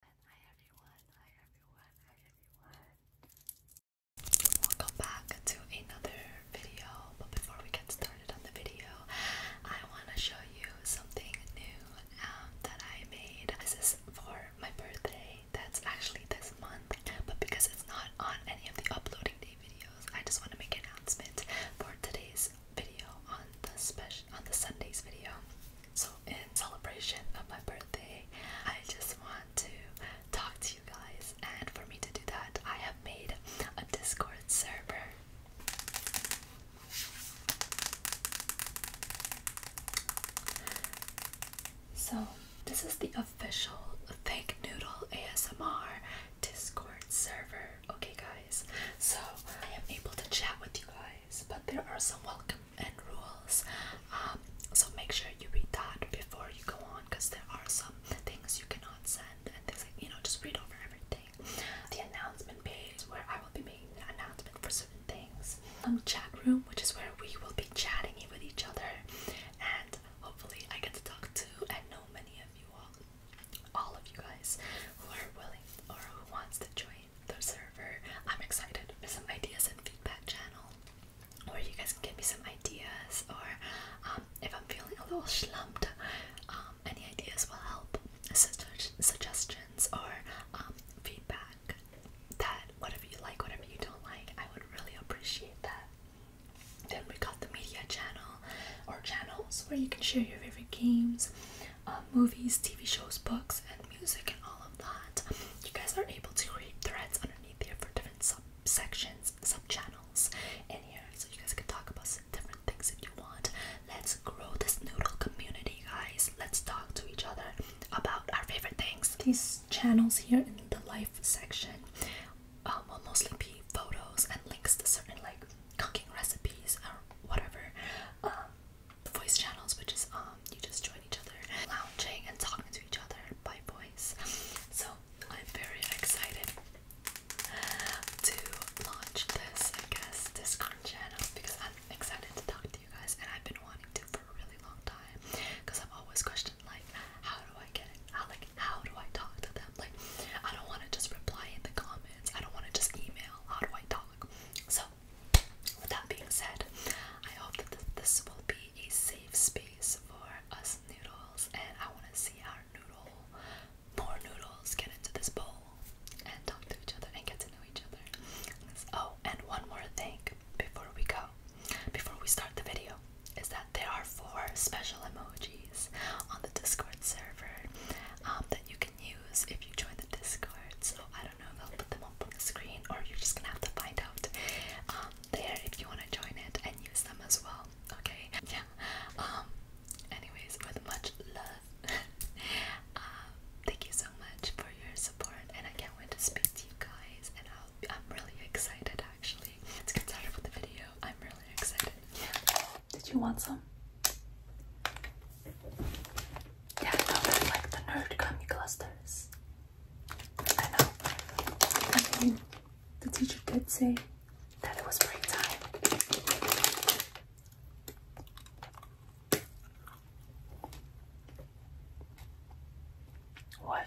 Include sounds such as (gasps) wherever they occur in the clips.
Hi everyone, hi everyone, hi everyone. Welcome back to another video. But before we get started on the video, I want to show you something new um, that I made. This is for my birthday. That's actually this month. But because it's not on any of the uploading day videos, I just want to make an announcement for today's video on the special on the Sunday's video. So, in celebration of my birthday, I just want to talk to you guys, and for me to do that, I have made a Discord server. So, this is the official Fake Noodle ASMR Discord server. Okay, guys, so I am able to chat with you guys, but there are some welcome and rules. Um, so make sure you read that before you go on because there are some things you cannot send and things you know, just read over everything. The announcement page where I will be making an announcement for certain things. Um, chat room, which is where we will be chatting with each other and hopefully I get to talk to and know many of you all all of you guys who are willing or who wants to join the server. I'm excited for some ideas and feedback channel where you guys can give me some ideas or um, if I'm feeling a little slumped, um, any ideas will help. Sugg suggestions or um, feedback that whatever you like, whatever you don't like, I would really appreciate that. Then we got the media channel or channels where you can share your favorite games, um, movies, TV shows, books, and music, and all of that. You guys are able to create threads underneath here for different subsections, subchannels in here, so you guys can talk about some different things if you want. Let's grow this noodle community, guys. Let's talk to each other about our favorite things. These channels here in the life section um, will mostly be photos and links to certain like cooking recipes or whatever. Um, voice channels, which is um you just join each other lounging and talking to each other by voice. So I'm very excited to launch this, I guess, Discord channel because I'm excited to talk to you guys and I've been wanting to for a really long time because I've always questioned like how do I get it? How like how do I talk to them? Like I don't wanna just reply in the comments. I don't wanna just email. How do I talk? So with that being said, I hope that this will be a safe space for us noodles, and I want to see our noodle, more noodles, get into this bowl and talk to each other and get to know each other. Oh, and one more thing before we go, before we start the video, is that there are four special emojis on the Discord server um, that you can use if you join the Discord. So I don't I'll put them up on the screen or you're just gonna have to find out um, there if you want to join it and use them as well. Okay, yeah. Um, anyways, with much love, uh, (laughs) thank you so much for your support, and I can't wait to speak to you guys. And i am really excited actually. Let's get started with the video. I'm really excited. Yeah. Did you want some? Yeah, I know like the nerd gummy clusters. I know. I mean, the teacher did say that it was break time. What?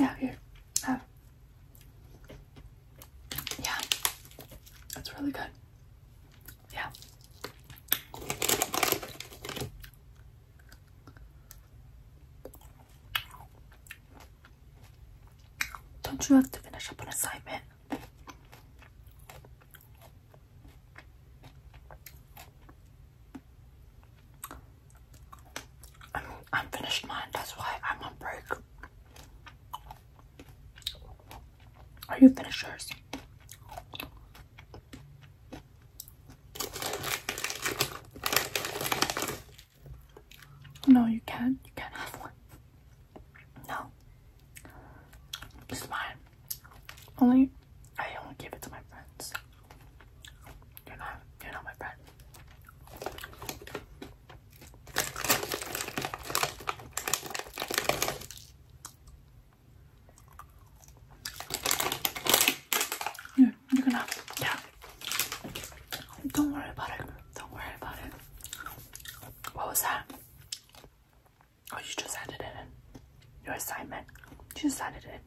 Yeah, here. Um, yeah, that's really good. Yeah. Don't you have to finish up an assignment? I mean, I'm finished mine, that's why I'm on break. Are you finishers? No, you can't. You can't have one. No. It's mine. Only I only give it to my friends. You're not you're not my friend. Here, you're gonna, yeah. Don't worry about it. Don't worry about it. What was that? Oh, you just added it in. Your assignment. You just added it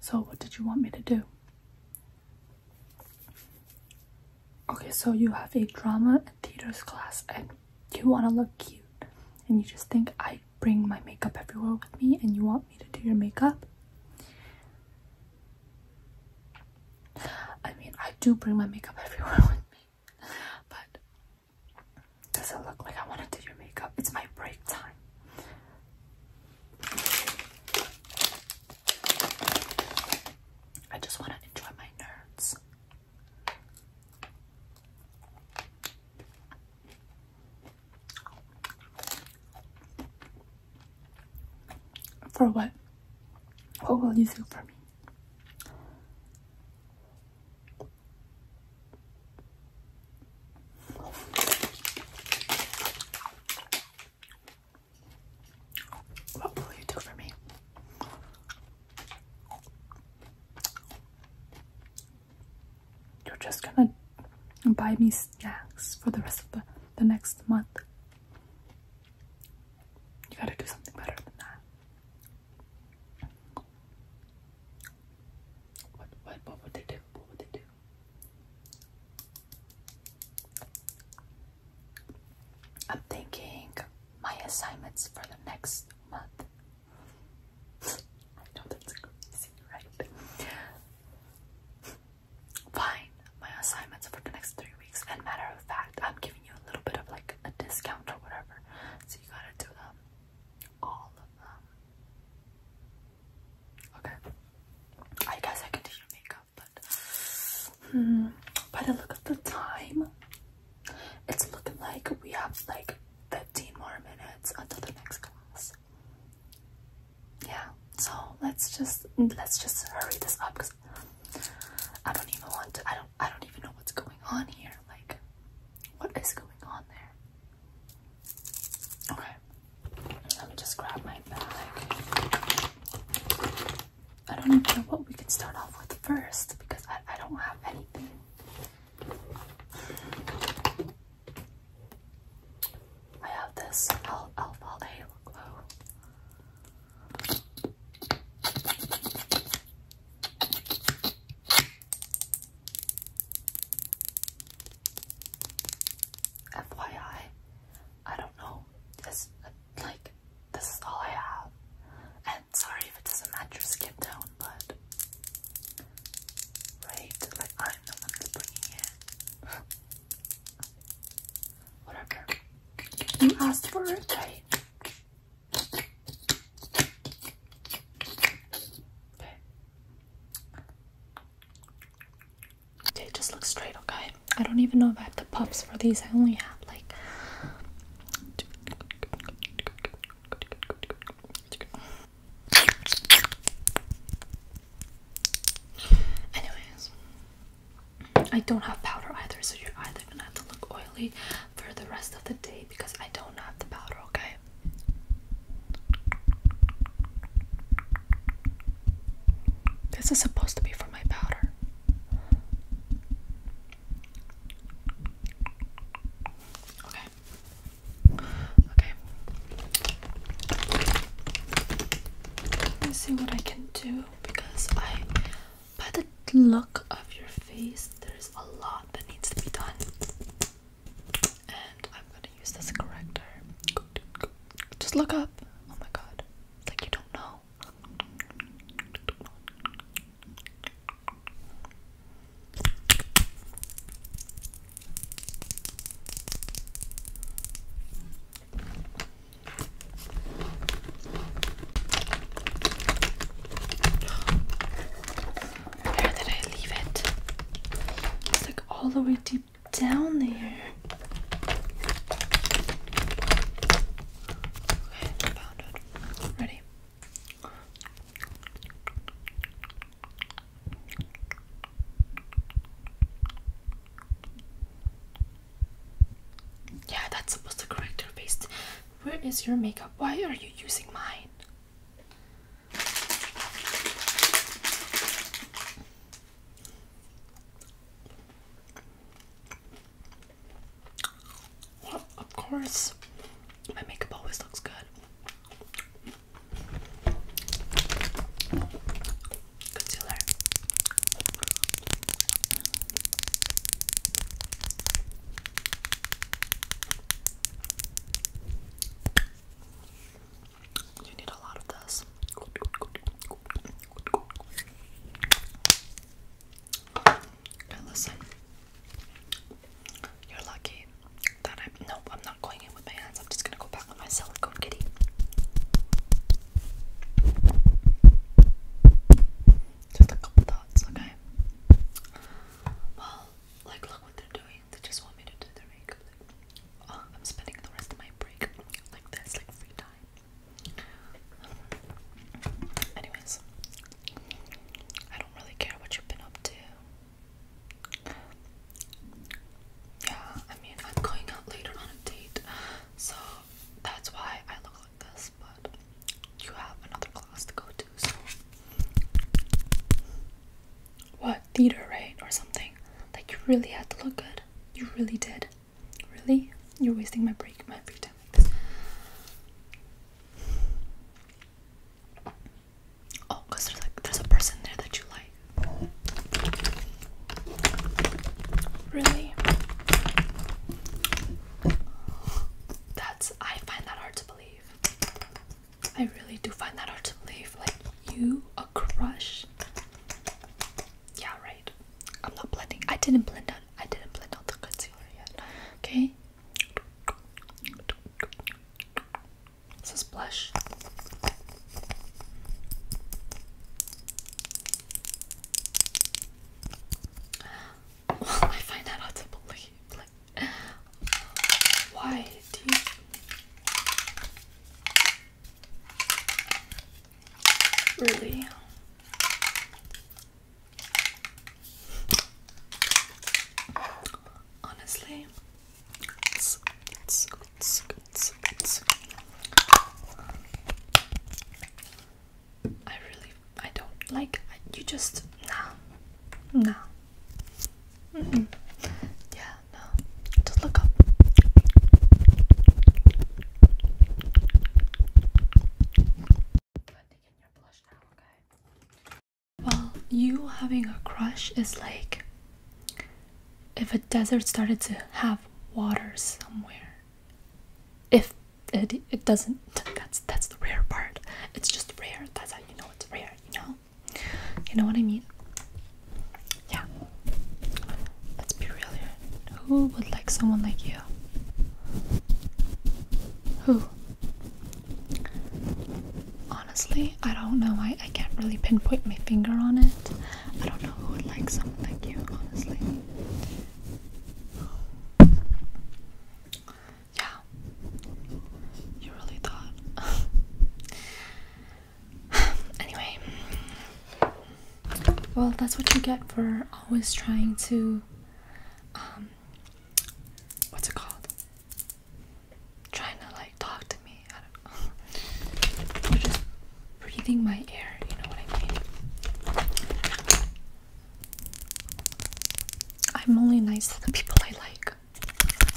So, what did you want me to do? Okay, so you have a drama and theaters class and you want to look cute and you just think I bring my makeup everywhere with me and you want me to do your makeup. I mean, I do bring my makeup (laughs) everywhere with me, but does it look like I want to do your makeup? It's my break time. I just want to enjoy my nerds. For what? What will you do for me? What will you do for me? You're just gonna buy me snacks for the rest of the, the next month. You gotta do something better than that. What, what, what would they do? What would they do? I'm thinking my assignments for the next month. (laughs) I know that's crazy, right? Fine, my assignments for the next three weeks. And matter of fact, I'm giving you a little bit of like a discount or whatever. So you gotta do them um, all of them. Okay. I guess I can do your makeup, but hmm. But I look at the time. It's looking like we have like 15 more minutes until the next class. Yeah. So let's just let's just hurry this up because I don't even want to. I don't. I don't even know what's going on here. Like, what is going on there? Okay, let me just grab my bag. I don't even know what we can start off with first because I, I don't have anything. I have this L alpha FYI, I don't know. This like this is all I have. And sorry if it doesn't match your skin tone, but right, like I'm the bringing it. (laughs) Whatever. You asked for it, Okay. Okay, just look straight, okay? I don't even know if I have the puffs for these. I only have like Anyways, I don't have powder either, so you're either gonna have to look oily for the rest of the day because I don't have the powder, okay? This is supposed to be for my powder. Okay. Okay. Let me see what I can do because I, by the look of your face, there's a lot that needs to be done. And I'm gonna use this corrector. Just look up. Oh my god. like you don't know. Where did I leave it? It's like all the way deep down there. Yeah, that's supposed to correct your face. Where is your makeup? Why are you using mine? of course, my makeup always looks good. Concealer. You need a lot of this. And listen, you're lucky that I'm. Nope, I'm not going in with my hands. I'm just gonna go back with my silicone kitty. Just a couple dots, okay? Well, like, look what they're doing. They just want me to do their makeup. Oh, I'm spending the rest of my break like this, like free time. Anyways, I don't really care what you've been up to. Yeah, I mean, I'm going out later on a date, so that's why I look like this, but you have another class to go to, so. What, theater, right? Or something? Like, you really had to look good you really did. Really? You're wasting my break, my free time like this. Oh, there's like there's a person there that you like. Really? That's I find that hard to believe. I really do find that hard to believe. Like you crush. Yeah, right. I'm not blending. I didn't blend out. I didn't blend out the concealer yet. Okay. This is blush. I find that hard to believe. Like, why do Really. Honestly, it's, it's, it's, it's, it's. I really, I don't like. you just nah, nah. Yeah, no. Just look up. Well, you having a crush is like if a desert started to have water somewhere. If it, it doesn't, that's that's the rare part. It's just rare. That's how you know it's rare. You know, you know what I mean yeah let's be real here who would like someone like you who honestly i don't know i, I can't really pinpoint my finger on it i don't know who would like someone like you honestly yeah you really thought (laughs) (sighs) anyway, well, that's what you get for always trying to, um, what's it called? Trying to like talk to me. You're (laughs) just breathing my air. You know what I mean? I'm only nice to the people I like.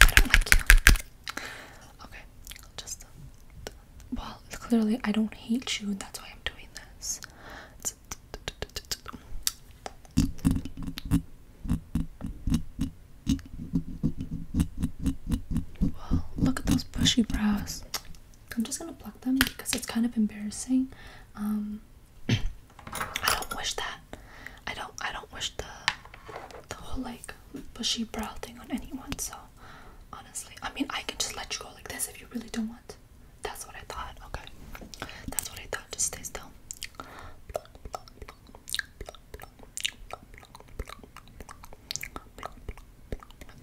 I don't like you. Okay, just. well, clearly I don't hate you, and that's why I'm doing this. Well, look at those bushy brows. I'm just gonna pluck them because it's kind of embarrassing. Um, I don't wish that. I don't. I don't wish the the whole like bushy brow thing on anyone. So honestly. I mean, I can just let you go like this if you really don't want. That's what I thought, okay? That's what I thought. Just stay still.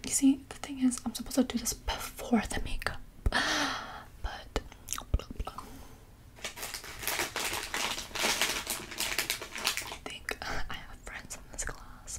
You see, the thing is, I'm supposed to do this before the makeup, (gasps) but. I think (laughs) I have friends in this class.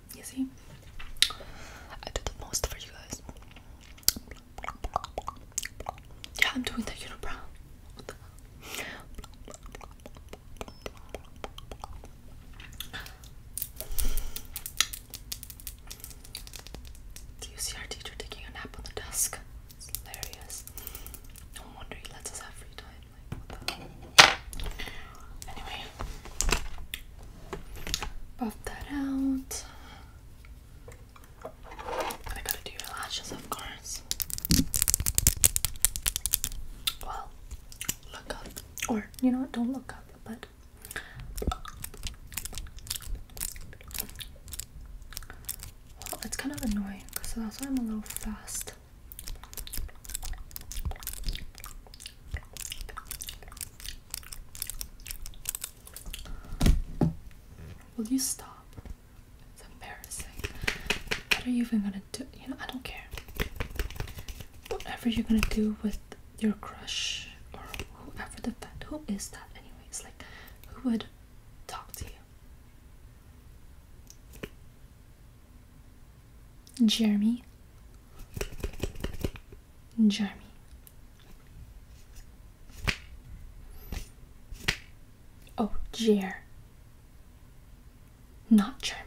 You see? I do the most for you guys. Yeah, I'm doing the unibrow. do you see our teacher taking a nap on the desk? It's hilarious. No wonder he lets us have free time. Anyway, buff that out. I gotta do your lashes, of course. Well, look up. Or, you know what, don't look up, but. Well, it's kind of annoying, so that's why I'm a little fast. Will you stop? It's embarrassing. What are you even gonna do? You know, I don't care. Whatever you're gonna do with your crush or whoever the fact who is that anyways? Like who would talk to you? Jeremy. Jeremy. Oh, Jer. Not Jeremy.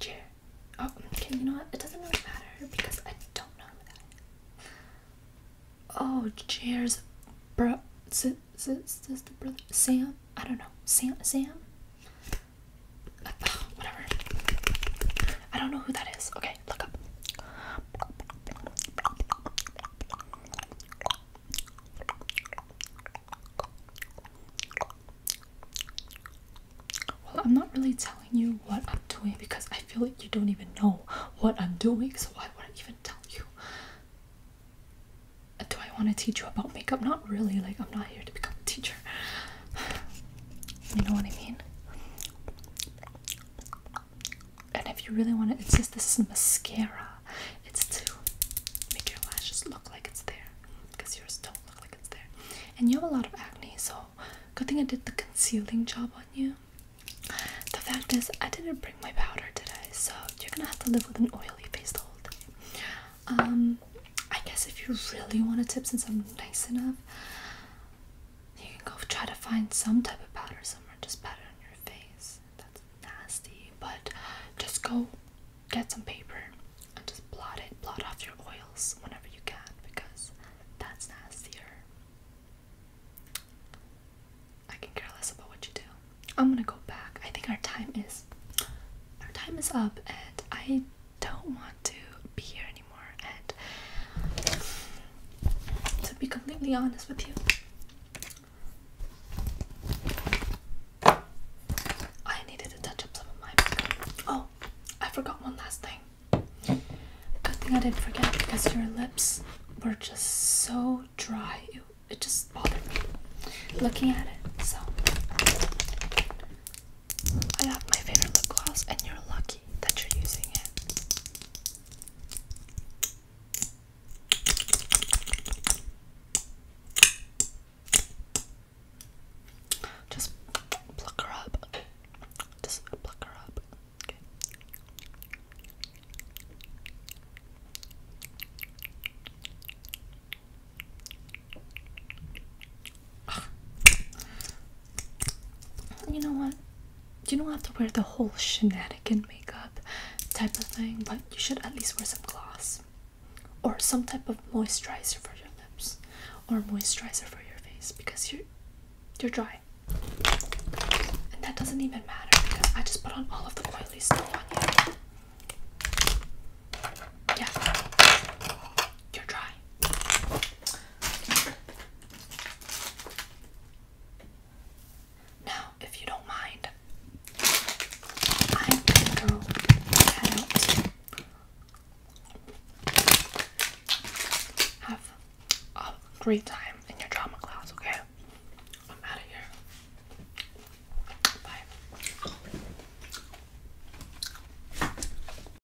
Jer. Oh, okay, you know what? It doesn't really matter because I don't know Oh, Jer's bro. Is, is, is the brother? Sam? I don't know. Sam? Sam? whatever. I don't know who that is. Okay, look up. Well, I'm not really telling you what I'm doing because I feel like you don't even know what I'm doing, so why would I even tell you? Do I want to teach you about makeup? Not really, like, I'm not here to become a teacher. You know what I mean? And if you really want to, it says this is mascara. It's to make your lashes look like it's there. Because yours don't look like it's there. And you have a lot of acne, so good thing I did the concealing job on you. The fact is, I didn't bring my powder today, so you're gonna have to live with an oily face the whole day. Um, I guess if you really want a tip, since I'm nice enough, you can go try to find some type of powder somewhere, just powder on your face. That's nasty, but just go get some paper and just blot it, blot off your oils whenever you can because that's nastier. I can care less about what you do. I'm gonna go back. I think our time is our time is up and I don't want to be here anymore. And to be completely honest with you, I needed to touch up some of my Oh, I forgot one last thing. Good thing I didn't forget because your lips were just so dry. It, it just bothered me looking at it. So I have my favorite lip gloss, and you're lucky that you're using it. Just pluck her up. Just pluck her up. Okay. (sighs) You know what? You don't have to wear the whole shenanigan makeup type of thing, but you should at least wear some gloss or some type of moisturizer for your lips or moisturizer for your face because you're you're dry. And that doesn't even matter because I just put on all of the oily stuff on you. Yeah. You're dry. Now, if you don't mind, I'm gonna go Have a great time in your drama class, okay? I'm out of here. Bye.